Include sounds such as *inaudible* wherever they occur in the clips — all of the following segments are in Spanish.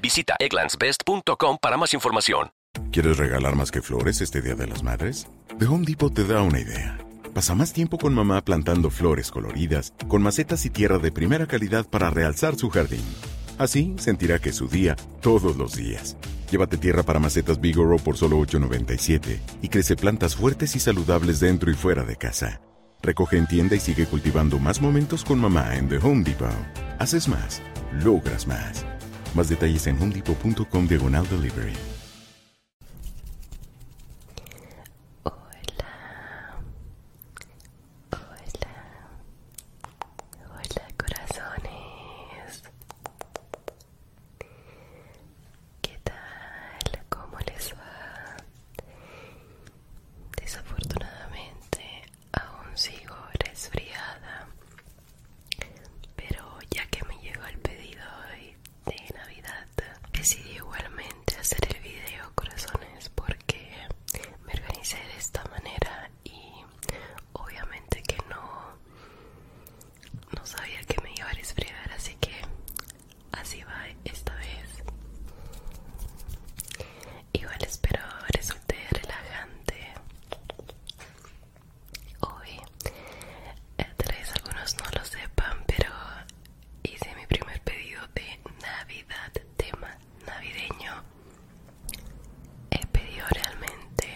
Visita egglandsbest.com para más información. ¿Quieres regalar más que flores este Día de las Madres? The Home Depot te da una idea. Pasa más tiempo con mamá plantando flores coloridas, con macetas y tierra de primera calidad para realzar su jardín. Así sentirá que es su día todos los días. Llévate tierra para macetas Bigoro por solo $8.97 y crece plantas fuertes y saludables dentro y fuera de casa. Recoge en tienda y sigue cultivando más momentos con mamá en The Home Depot. Haces más, logras más. Más detalles en homedepot.com diagonal delivery. Hola. Hola. Hola, corazones. ¿Qué tal? ¿Cómo les va? Desafortunadamente aún sigo resfriada, pero ya que me llegó el pedido de Navidad, decidí igualmente hacer el video corazones porque me organicé de esta manera y obviamente que no, no sabía que me iba a resfriar, así que así va esta vez. Igual espero resulte relajante. Hoy, eh, tal vez algunos no lo sepan, pero hice mi primer pedido de Navidad, tema navideño. He pedido realmente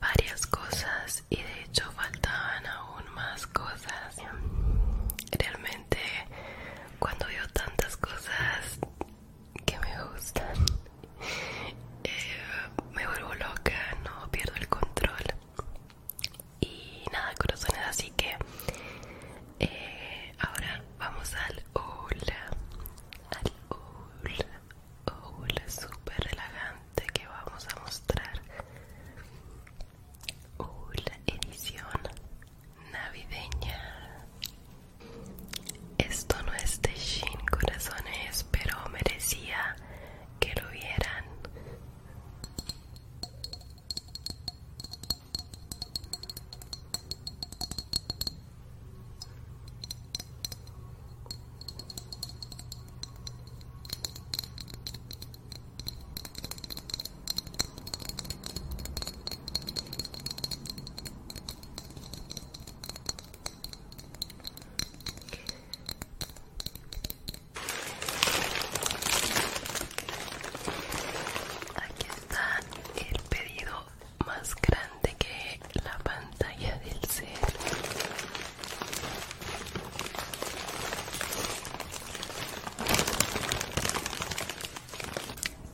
varias cosas y de hecho faltaban aún más cosas. Realmente cuando veo tantas cosas que me gustan *laughs* eh, me vuelvo loca no pierdo el control y nada corazones así que eh, ahora vamos al hola al hula, súper relajante que vamos a mostrar hola edición navideña. Esto no es de Shin Corazones, pero merecía que lo vieran. Aquí está el pedido más grande que la pantalla del ser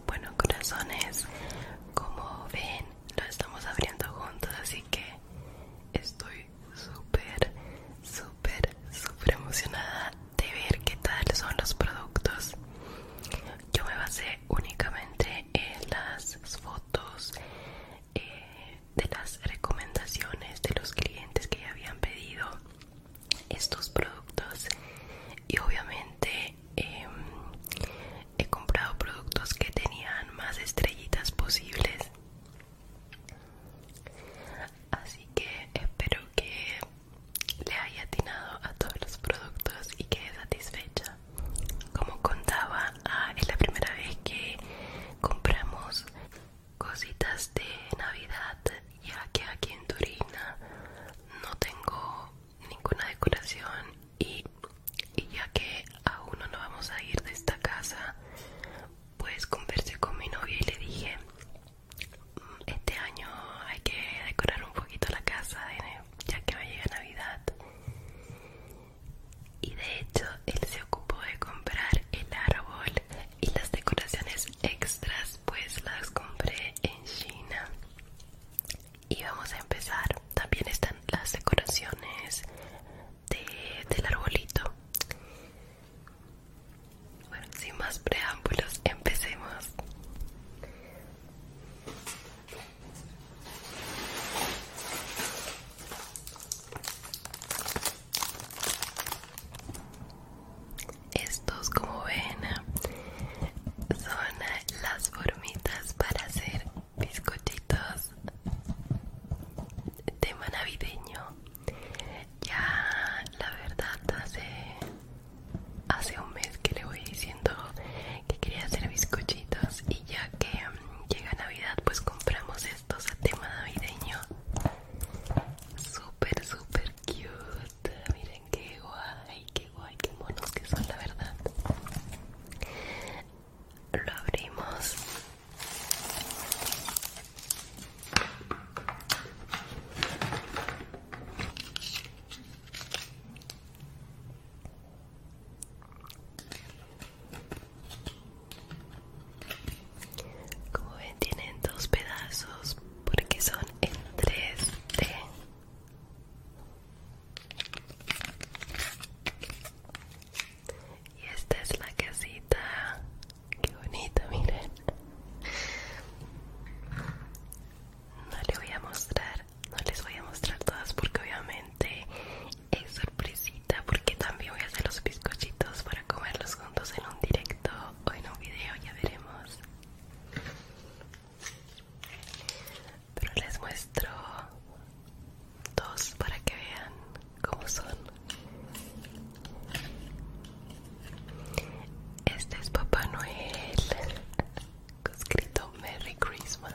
bueno, corazones, como ven, lo estamos abriendo juntos, así que estoy súper, súper, súper emocionada de ver qué tal son los productos. Yo me basé únicamente en las fotos eh, de las recomendaciones de los clientes que ya habían pedido estos productos y obviamente em, he comprado productos que tenían más estrellitas posibles así que espero que le haya atinado a todos los productos y quede satisfecha como contaba ah, es la primera vez que compramos cositas de navidad ya que aquí en Turina no tengo ninguna decoración y, ya que aún no vamos a ir de esta casa pues conversé con mi novia y le dije mm, este año hay que decorar un poquito la casa ya que va a llegar navidad y de hecho él se ocupó de comprar el árbol y las decoraciones extras pues las compré en China y vamos a empezar también están las decoraciones del arbolito bueno sin más preámbulos empecemos estos, como ven, son las formitas para hacer bizcochitos tema navideño. Ya, la verdad, hace, hace un mes que le voy diciendo que quería hacer bizcochitos y ya que llega Navidad, pues compramos estos a tema navideño. Súper, super cute. Este, miren qué guay, qué guay, qué monos que son, la verdad. Lo abrimos. Como ven, tienen dos pedazos porque son en 3D. Y esta es la casita. Qué bonita, miren. No les voy a mostrar, no les voy a mostrar todas porque obviamente es sorpresita porque también voy a hacer los bizcochitos para comerlos juntos en un directo o en un video, ya veremos. Pero les muestro dos para que vean cómo son. Este es Papá Noel, con *laughs* escrito Merry Christmas.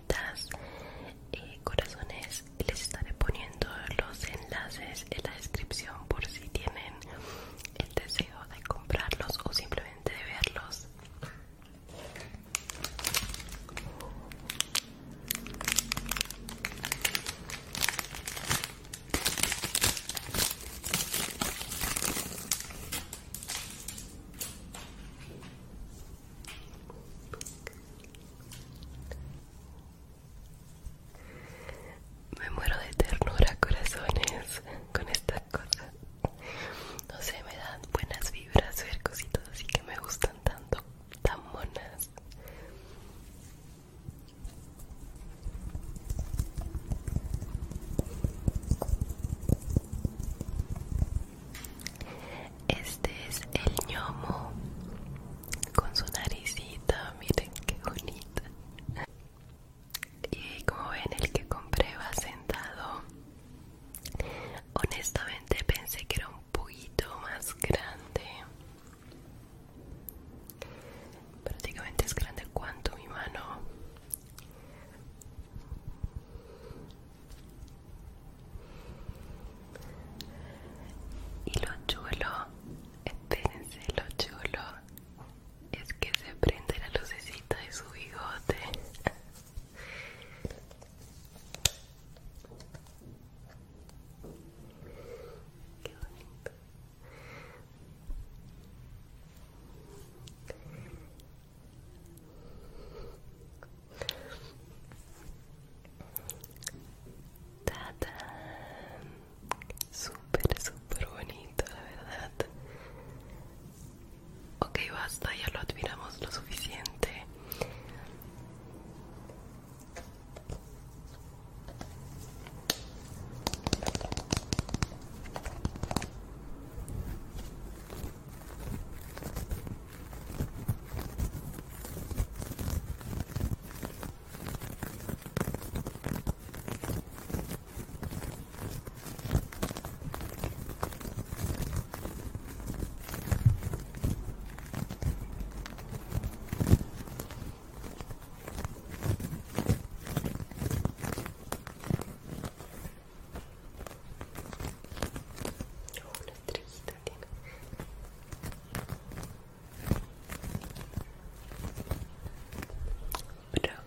Y eh, corazones les estaré poniendo los enlaces en la descripción por si tienen el deseo de comprarlos o simplemente de verlos me muero de ternura, corazones, con estas cosas. No sé, me dan buenas vibras ver cositas así que me gustan tanto, tan monas. Este es el ñomo con su naricita, miren qué bonita. Y como ven, el que compré va sentado. Honestamente pensé que era un poquito más grande. Prácticamente es grande cuanto mi mano. Y lo chulo, espérense, lo chulo es que se prende la lucecita de su bigote. *laughs* Súper, super bonito, la verdad. Ok, basta, ya lo admiramos lo suficiente una estrellita tiene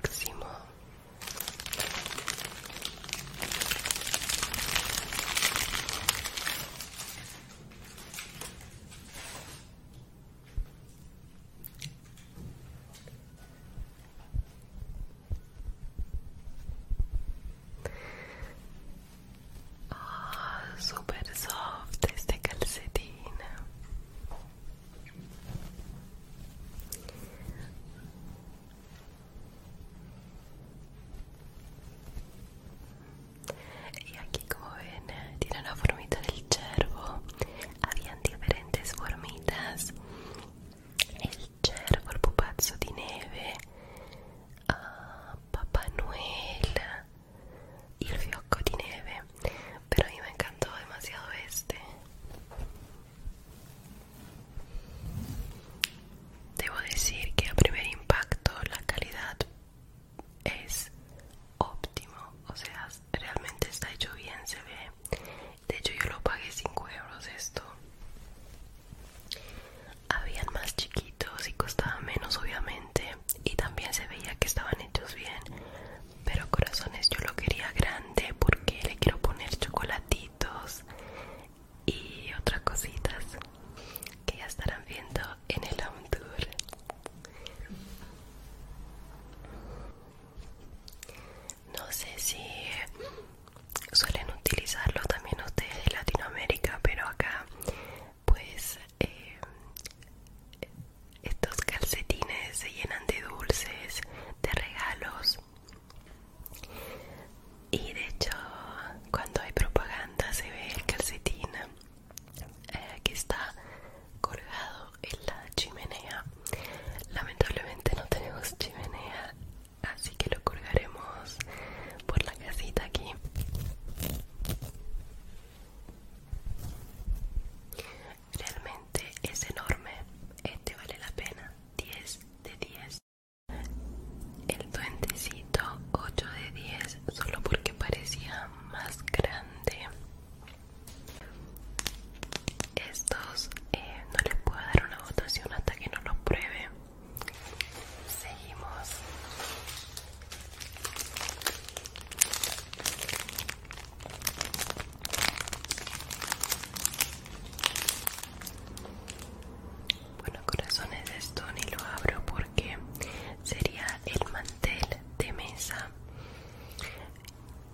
Próximo. Oh, super soft queste calzettine e aquí Cohen tiene la formita del cervo habían diferentes formitas el cervo, il pupazzo di neve uh, Papá Noel y el fiocco de nieve pero a mí me encantó demasiado este debo decir que a primer impacto la calidad es óptimo o sea realmente está hecho bien se ve de hecho yo lo pagué 5 euros esto habían más chiquitos y costaba menos obviamente y también se veía que estaban hechos bien. Pero corazones yo lo quería grande porque le quiero poner chocolatitos y otras cositas que ya estarán viendo en el home tour. No sé si suelen utilizarlo también ustedes de Latinoamérica, pero acá pues eh, estos calcetines se llenan de dulces, de regalos y de hecho cuando hay propaganda se ve el calcetín eh, que está colgado en la chimenea lamentablemente no tenemos chimenea así que lo colgaremos por la casita aquí Realmente es enorme, este vale la pena, 10 de 10. El duendecito 8 de 10, solo porque parecía más grande. Estos eh, no les puedo dar una votación hasta que no los pruebe. Seguimos. Bueno, corazones, esto ni lo abro porque sería el mantel de mesa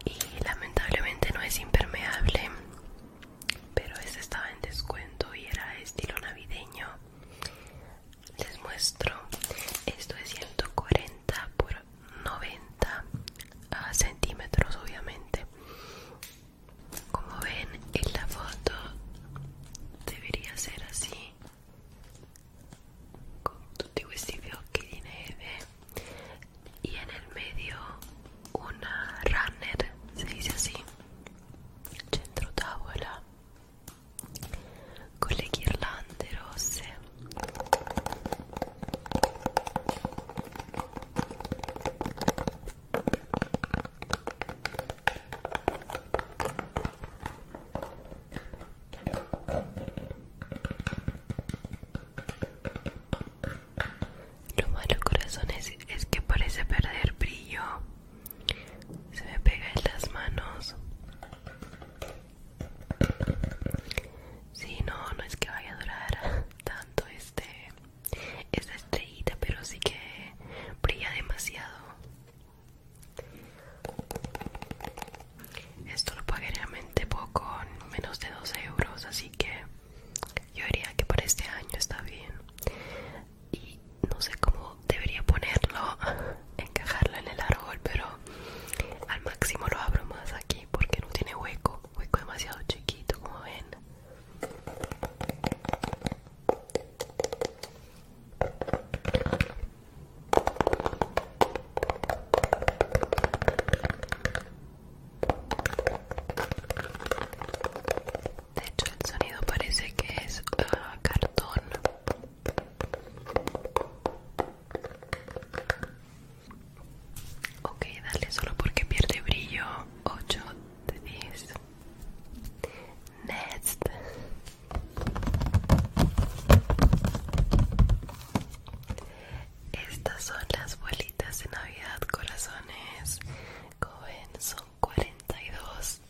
y lamentablemente no es impermeable pero este estaba en descuento y era estilo navideño les muestro esto es 140 por 90 ah, centímetros obviamente como ven en la foto debería ser así con tutti estos fiocchi tiene nieve y en el medio una runner se dice así centro tavola con la guirlanda, rosse lo malo corazón es que parece perder brillo se me pega en las manos si no, no es que vaya a durar tanto este esta estrellita, pero sí que brilla demasiado. Esto lo pagué realmente poco, menos de 2 euros, así que yo diría que para este año está bien y no sé cómo debería ponerlo, *laughs* encajarlo en el árbol, pero al máximo lo abro más aquí porque no tiene hueco, hueco demasiado chiquito como ven. De hecho el sonido parece que es ah, cartón. Ok, dale solo porque pierde brillo. 8 de 10. Next. Estas son las bolitas de Navidad, corazones. Como son 42.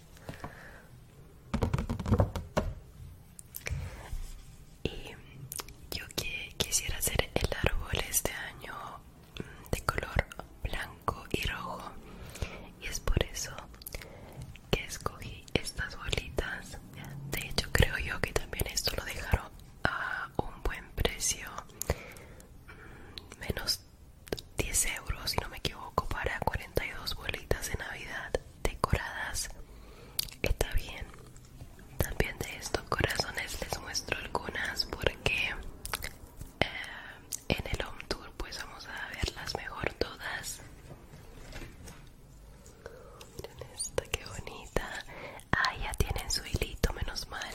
Y yo que quisiera hacer el árbol este año mm, de color blanco y rojo. Y es por eso que escogí estas bolitas. De hecho, creo yo que también esto lo dejaron a un buen precio. Mm, menos 10 euros si no me equivoco para 42 bolitas de navidad decoradas está bien también de estos corazones les muestro algunas porque eh, en el home tour pues vamos a verlas mejor todas miren esta que bonita ah ya tienen su hilito menos mal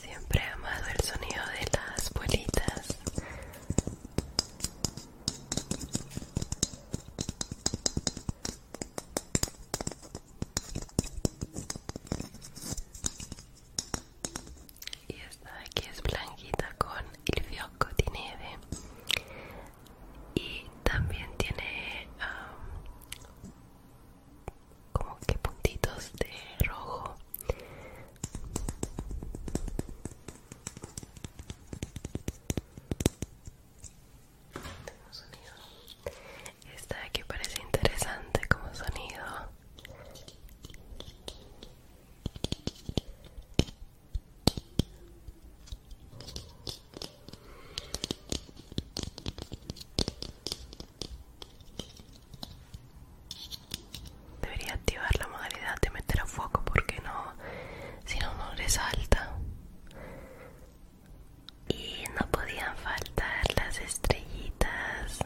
Siempre he amado el sonido de las bolitas. Y esta de aquí es blanquita con el fiocco de nieve. Y también tiene como que puntitos de rojo sonido esta de parece interesante como sonido Debería activar la modalidad de meter a fuego porque no, si no, no resalta. Y no podían faltar las estrellitas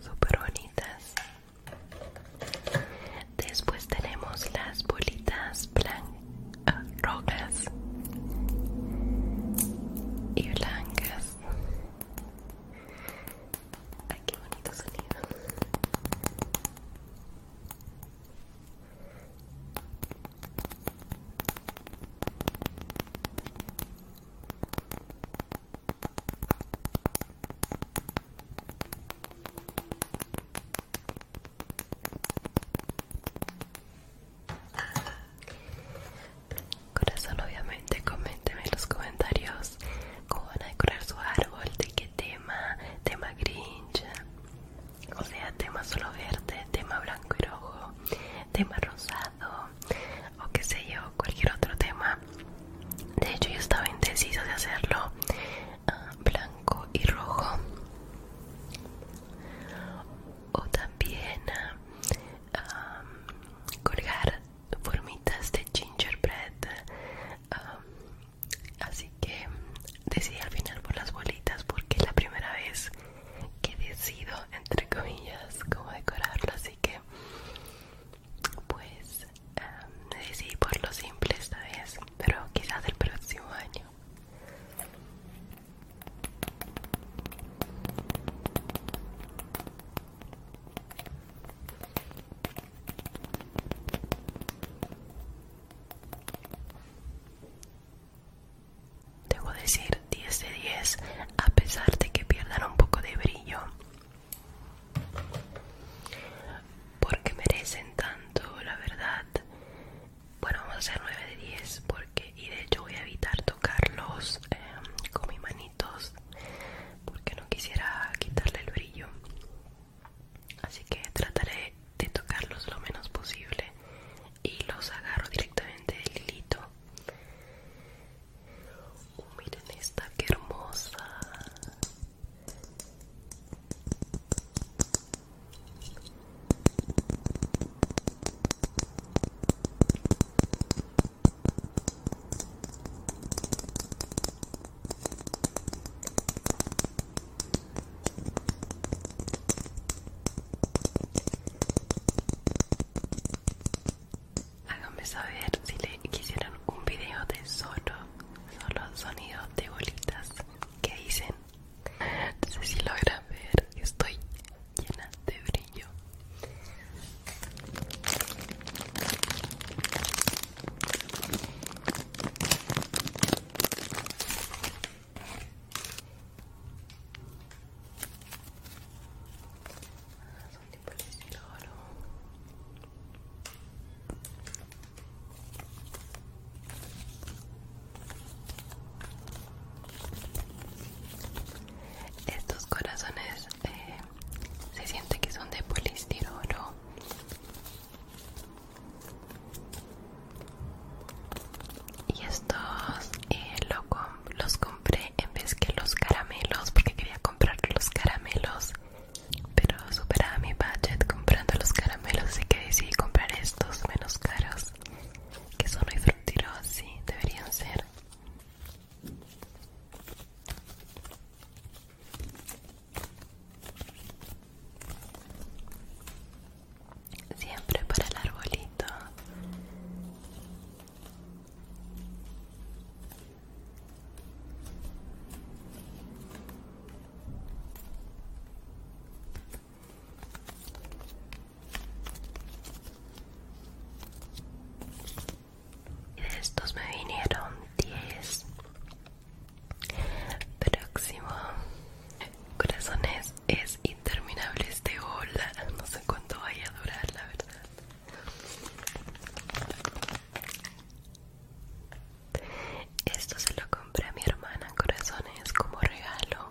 super bonitas. Después tenemos las bolitas blancas, y blancas. Ay, qué bonito sonido. Corazón, obviamente, coménteme en los comentarios cómo van a decorar su árbol, de qué tema, tema grinch, o sea, tema solo verde, tema blanco y rojo, tema rosado, o qué sé yo, cualquier otro tema. De hecho, yo estaba indecisa de hacerlo ah, blanco y rojo. O también ah, colgar formitas de gingerbread um, así que decidí al final por las bolitas porque es la primera vez que decido entre comillas cómo decorarlo así que pues um, decidí por lo simple esta vez pero quizás el próximo año Debo decir 10 de 10 a pesar de que pierdan un poco de brillo. Porque merecen tanto, la verdad. Bueno, vamos a hacer 9 de 10 porque y de hecho voy a evitar tocarlos eh, con mi manito porque no quisiera quitarle el brillo así que trataré de tocarlos lo menos posible y los agarro directamente del hilito oh, miren esta que hermosa Háganme saber si le quisieran un video de solo, solo sonido de bolitas que dicen. No sé si logran ver, estoy llena de brillo. Estos corazones eh, se siente que son de polistirolo y estos eh, los compré en vez que los caramelos porque quería comprar los caramelos pero superaba mi budget comprando los caramelos así que decidí comprar estos menos caros que son muy fructíferos deberían ser Siempre para el arbolito y de estos me vinieron 10 próximo corazones es interminable este hola no sé cuánto vaya a durar la verdad esto se lo compré a mi hermana corazones como regalo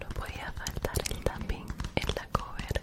No podía faltar el tapping en la cover.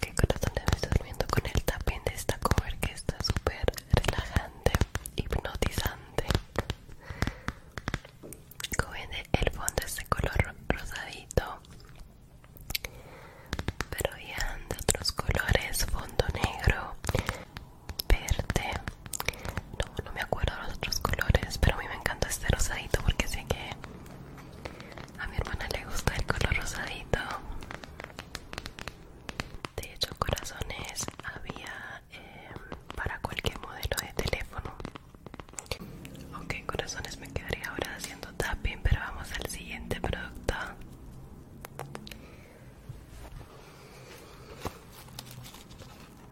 Que estoy durmiendo con el tapín de esta cover que está súper relajante, hipnotizante. Como el fondo es de color rosadito, pero ya de otros colores, fondo negro, verde no me acuerdo los otros colores, pero a mí me encanta este rosadito porque sé que a mi hermana le gusta el color rosadito. De hecho, corazones había em, para cualquier modelo de teléfono. Ok, corazones, me quedaría ahora haciendo tapping, pero vamos al siguiente producto.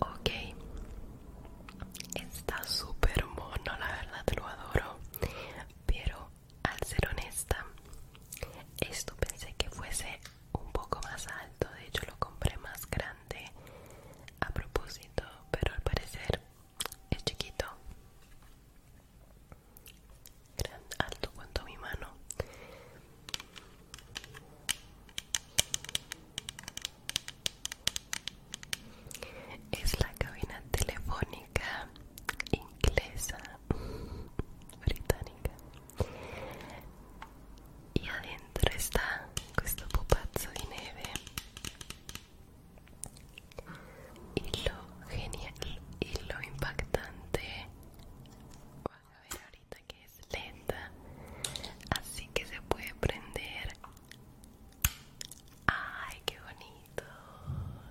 Okay. está súper mono, la verdad lo adoro, pero al ser honesta, esto pensé que fuese un poco más alto, de hecho lo compré más grande a propósito, pero al parecer es chiquito. alto cuanto mi mano es la cabina telefónica inglesa británica y adentro está este pupazzo di neve y lo genial y lo impactante a ver ahorita que es lenta así que se puede prender Ay, qué bonito,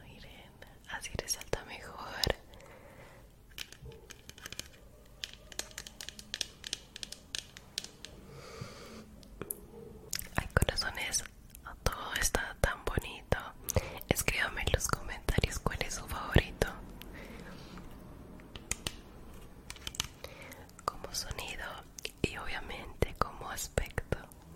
Miren, Así resalta mejor. Ay, corazones, todo está tan bonito. Escríbame en los comentarios cuál es su favorito. Como sonido y obviamente como aspecto.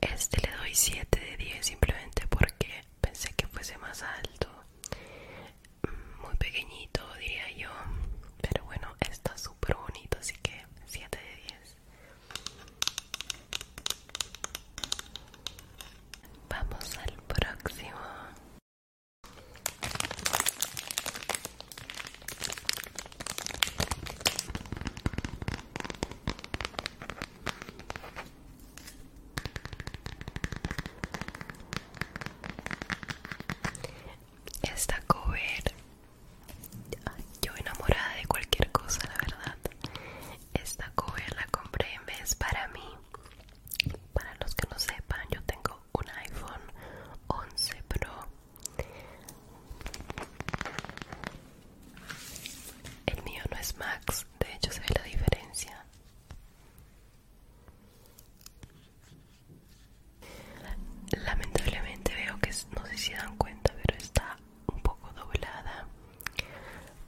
Este le doy 7 de 10 simplemente porque pensé que fuese más alto, mm, muy pequeñito diría yo, pero bueno, está súper bonito, así que 7 de 10. Vamos al próximo. Esta cover, yo enamorada de cualquier cosa, la verdad. Esta cover la compré en vez para mí. Para los que no sepan, yo tengo un iPhone 11 Pro. El mío no es Max, de hecho se ve la diferencia. Lamentablemente veo que no sé si dan cuenta, pero está un poco doblada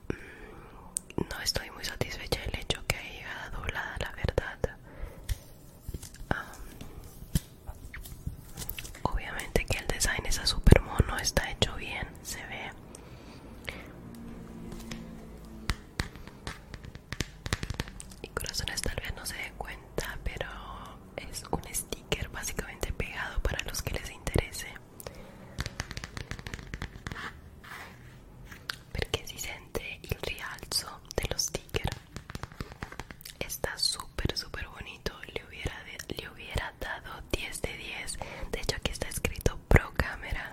mm, no estoy muy satisfecha del hecho que haya doblada la verdad obviamente que el design esa super mono está hecho bien se ve y corazones tal vez no se den cuenta pero es un sticker básicamente pegado para los que les interese porque si sente el rialzo De sticker Está Está súper súper bonito le hubiera, le hubiera dado 10 de 10 de hecho aquí está escrito pro cámara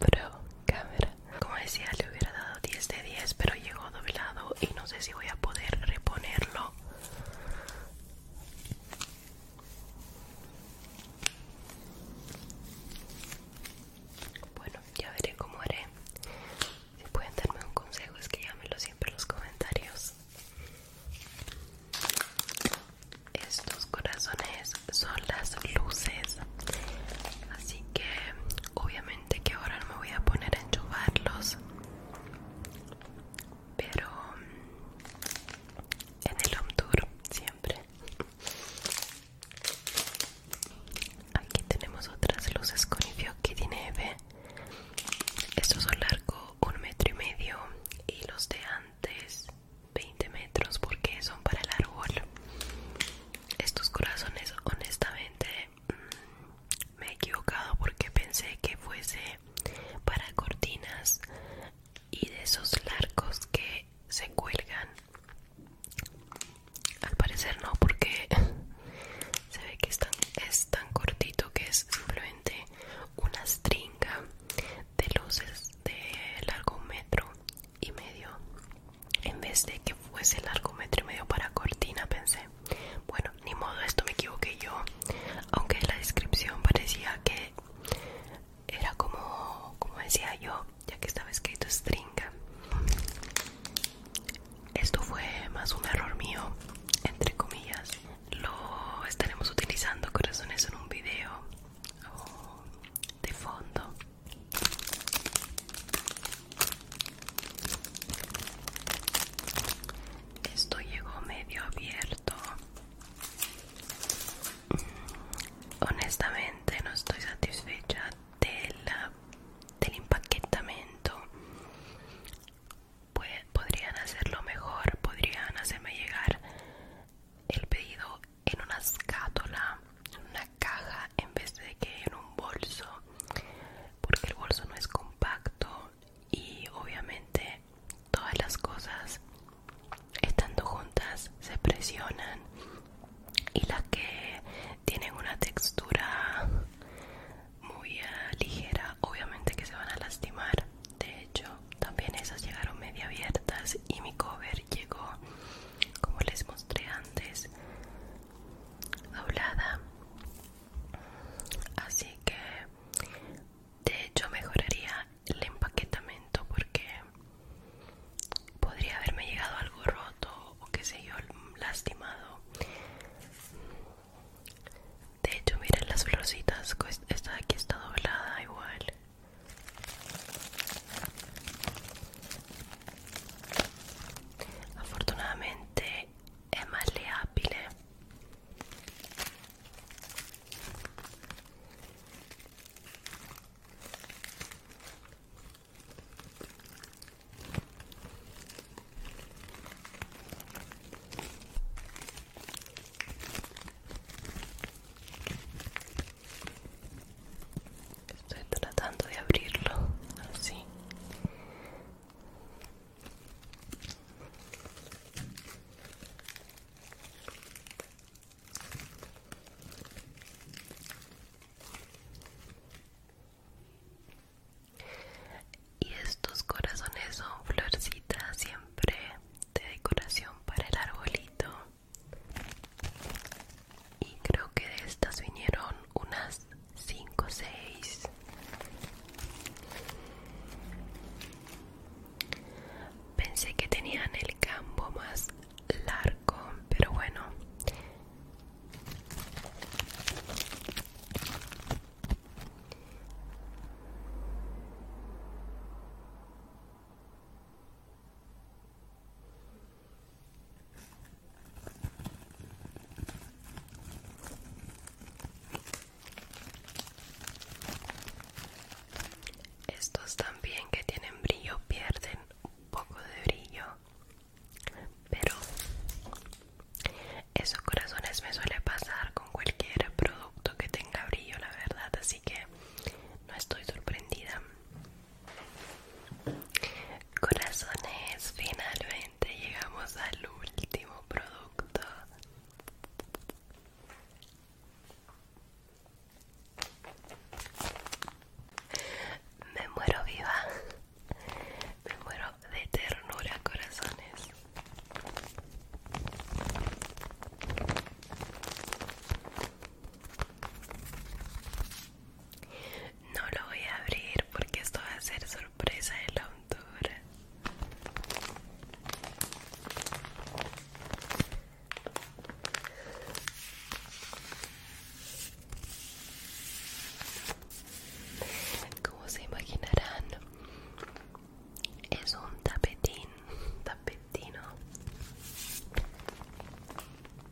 pro cámara como decía le hubiera dado 10 de 10 pero llegó doblado y no sé si voy a poder reponerlo bueno, ya veré cómo haré. Si pueden darme un consejo, es que llámenlo siempre en los comentarios. Estos corazones son las luces. Así que obviamente que ahora no me voy a poner a enchufarlos pero mm, en el home tour siempre aquí tenemos otras luces con que tiene nieve. estos son largo un metro y medio y los de antes 20 metros porque son para el árbol estos corazones honestamente mm, me he equivocado porque pensé que fuese para cortinas y de esos largos que se cuelgan. Al parecer no, porque *laughs* se ve que es tan, cortito que es simplemente una stringa de luces de largo metro y medio. En vez de que fuese largo metro y medio para cortina, pensé, bueno, ni modo, esto me equivoqué yo. Aunque en la descripción parecía que era como, como decía yo, ya que estaba escrito stringa. Esto fue más un error mío, entre comillas. Lo estaremos utilizando corazones en un video oh, de fondo. Esto llegó medio abierto. Honestamente no estoy satisfecha del, del empaquetamiento. Podrían hacerlo mejor, podrían hacerme llegar el pedido en una escátula, en una caja en vez de que en un bolso, porque el bolso no es compacto y obviamente todas las cosas estando juntas se presionan y las que tienen una textura muy eh, ligera obviamente que se van a lastimar de hecho también esas llegaron media abiertas y mi cover llegó como les mostré antes doblada así que de hecho mejoraría el empaquetamiento porque podría haberme llegado algo roto o qué sé yo lastimado de hecho miren las florcitas esta de aquí está doblada igual afortunadamente es más Estoy tratando de abrirlo así y estos corazones son florcitas siempre de decoración para el arbolito. Y creo que de estas vinieron unas 5 o 6. Pensé que tenían el campo más largo, pero bueno. Estos también que tienen brillo pierden un poco de brillo, pero eso corazones me suele pasar con cualquier producto que tenga brillo, la verdad, así que no estoy sorprendida. Corazones, finalmente llegamos al último producto me muero viva. Me muero de ternura, corazones. No lo voy a abrir porque esto va a ser sorpresa de la como se imaginarán es un tapetín tapetino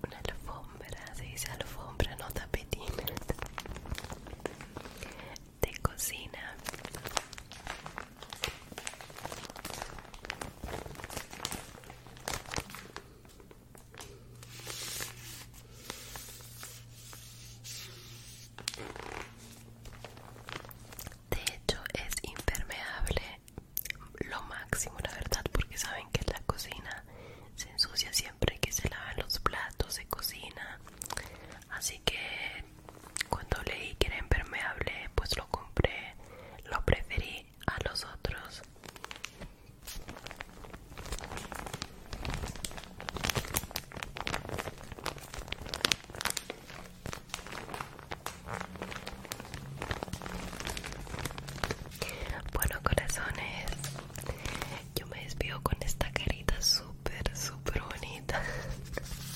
una alfombra se dice alfombra no tapetín de cocina de hecho es impermeable lo máximo la verdad porque saben que la cocina se ensucia siempre que se lavan los platos de cocina así que cuando leí que era impermeable, pues lo compré, lo preferí a los otros. Bueno corazones, yo me despido con esta carita súper, super bonita.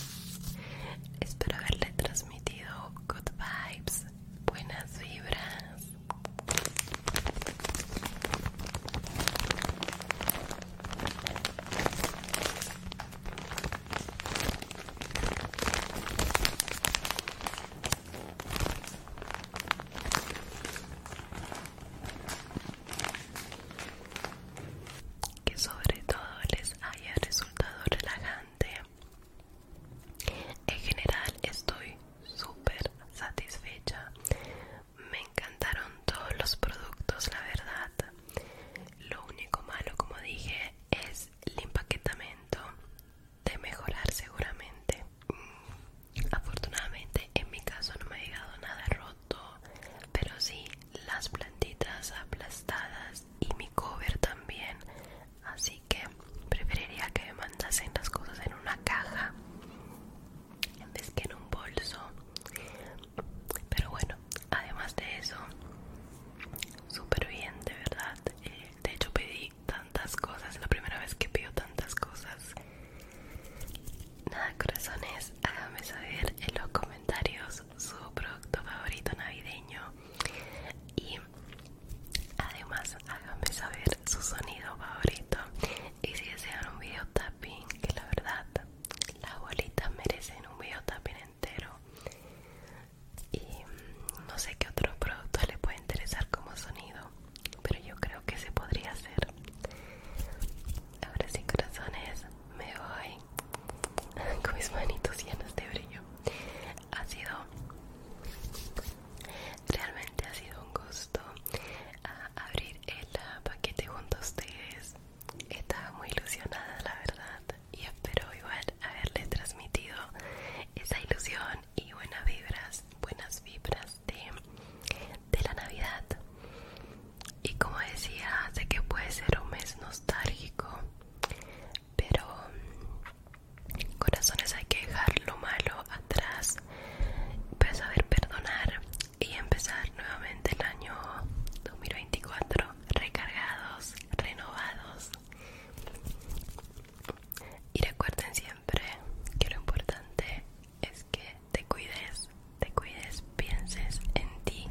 *laughs* Espero haberle transmitido good vibes, buenas vibras que sobre todo les haya resultado relajante. En general estoy súper satisfecha. Me encantaron todos los productos, la verdad. Lo único malo, como dije, es el empaquetamiento de mejorar seguramente. Afortunadamente en mi caso no me ha llegado nada roto, pero sí las plantitas aplastadas y mi cover también así que preferiría que me mandasen las cosas en una caja en vez que en un bolso pero bueno además de eso súper bien de verdad eh, de hecho pedí tantas cosas la primera vez que pido tantas cosas Nada, corazones, háganme saber en los comentarios su producto favorito navideño y además háganme saber su sonido favorito y si desean un video tapping, que la verdad las bolitas merecen un video tapping entero y no sé qué otro producto les puede interesar como sonido pero yo creo que se podría hacer ahora sí corazones me voy *laughs* con mis manitos llenas de brillo. Ha sido, realmente ha sido un gusto ah, abrir el paquete junto a ustedes. Estaba muy ilusionada, la verdad, y espero igual haberle transmitido esa ilusión y buenas vibras, buenas vibras de la Navidad y como decía sé que puede ser un mes nostálgico pero mm, corazones hay que dejar lo malo atrás Para pues saber perdonar y empezar nuevamente el año 2024 recargados renovados y recuerden siempre que lo importante es que te cuides, te cuides, pienses en ti,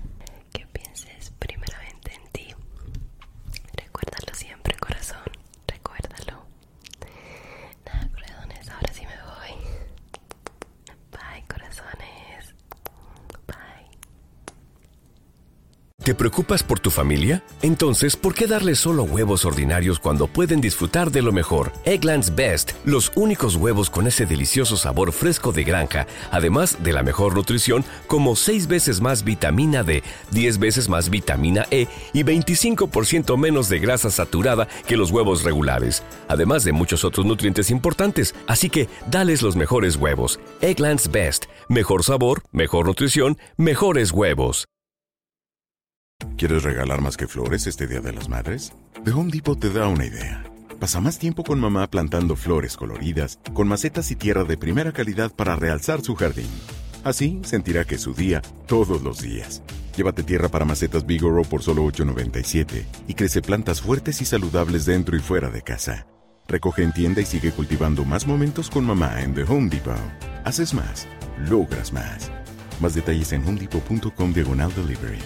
que pienses primeramente en ti. Recuérdalo siempre, corazón, recuérdalo. Nada, corazones, ahora sí me voy. Bye, corazones. Bye. ¿Te preocupas por tu familia? Entonces, ¿por qué darles solo huevos ordinarios cuando pueden disfrutar de lo mejor? Eggland's Best, los únicos huevos con ese delicioso sabor fresco de granja además de la mejor nutrición como 6 veces más vitamina D, 10 veces más vitamina E y 25% menos de grasa saturada que los huevos regulares, además de muchos otros nutrientes importantes. Así que dales los mejores huevos. Egglands Best. Mejor sabor, mejor nutrición, mejores huevos. ¿Quieres regalar más que flores este Día de las Madres? The Home Depot te da una idea. Pasa más tiempo con mamá plantando flores coloridas, con macetas y tierra de primera calidad para realzar su jardín. Así sentirá que su día todos los días. Llévate tierra para macetas Bigoro por solo $8.97 y crece plantas fuertes y saludables dentro y fuera de casa. Recoge en tienda y sigue cultivando más momentos con mamá en The Home Depot. Haces más, logras más. Más detalles en homedepot.com diagonal delivery.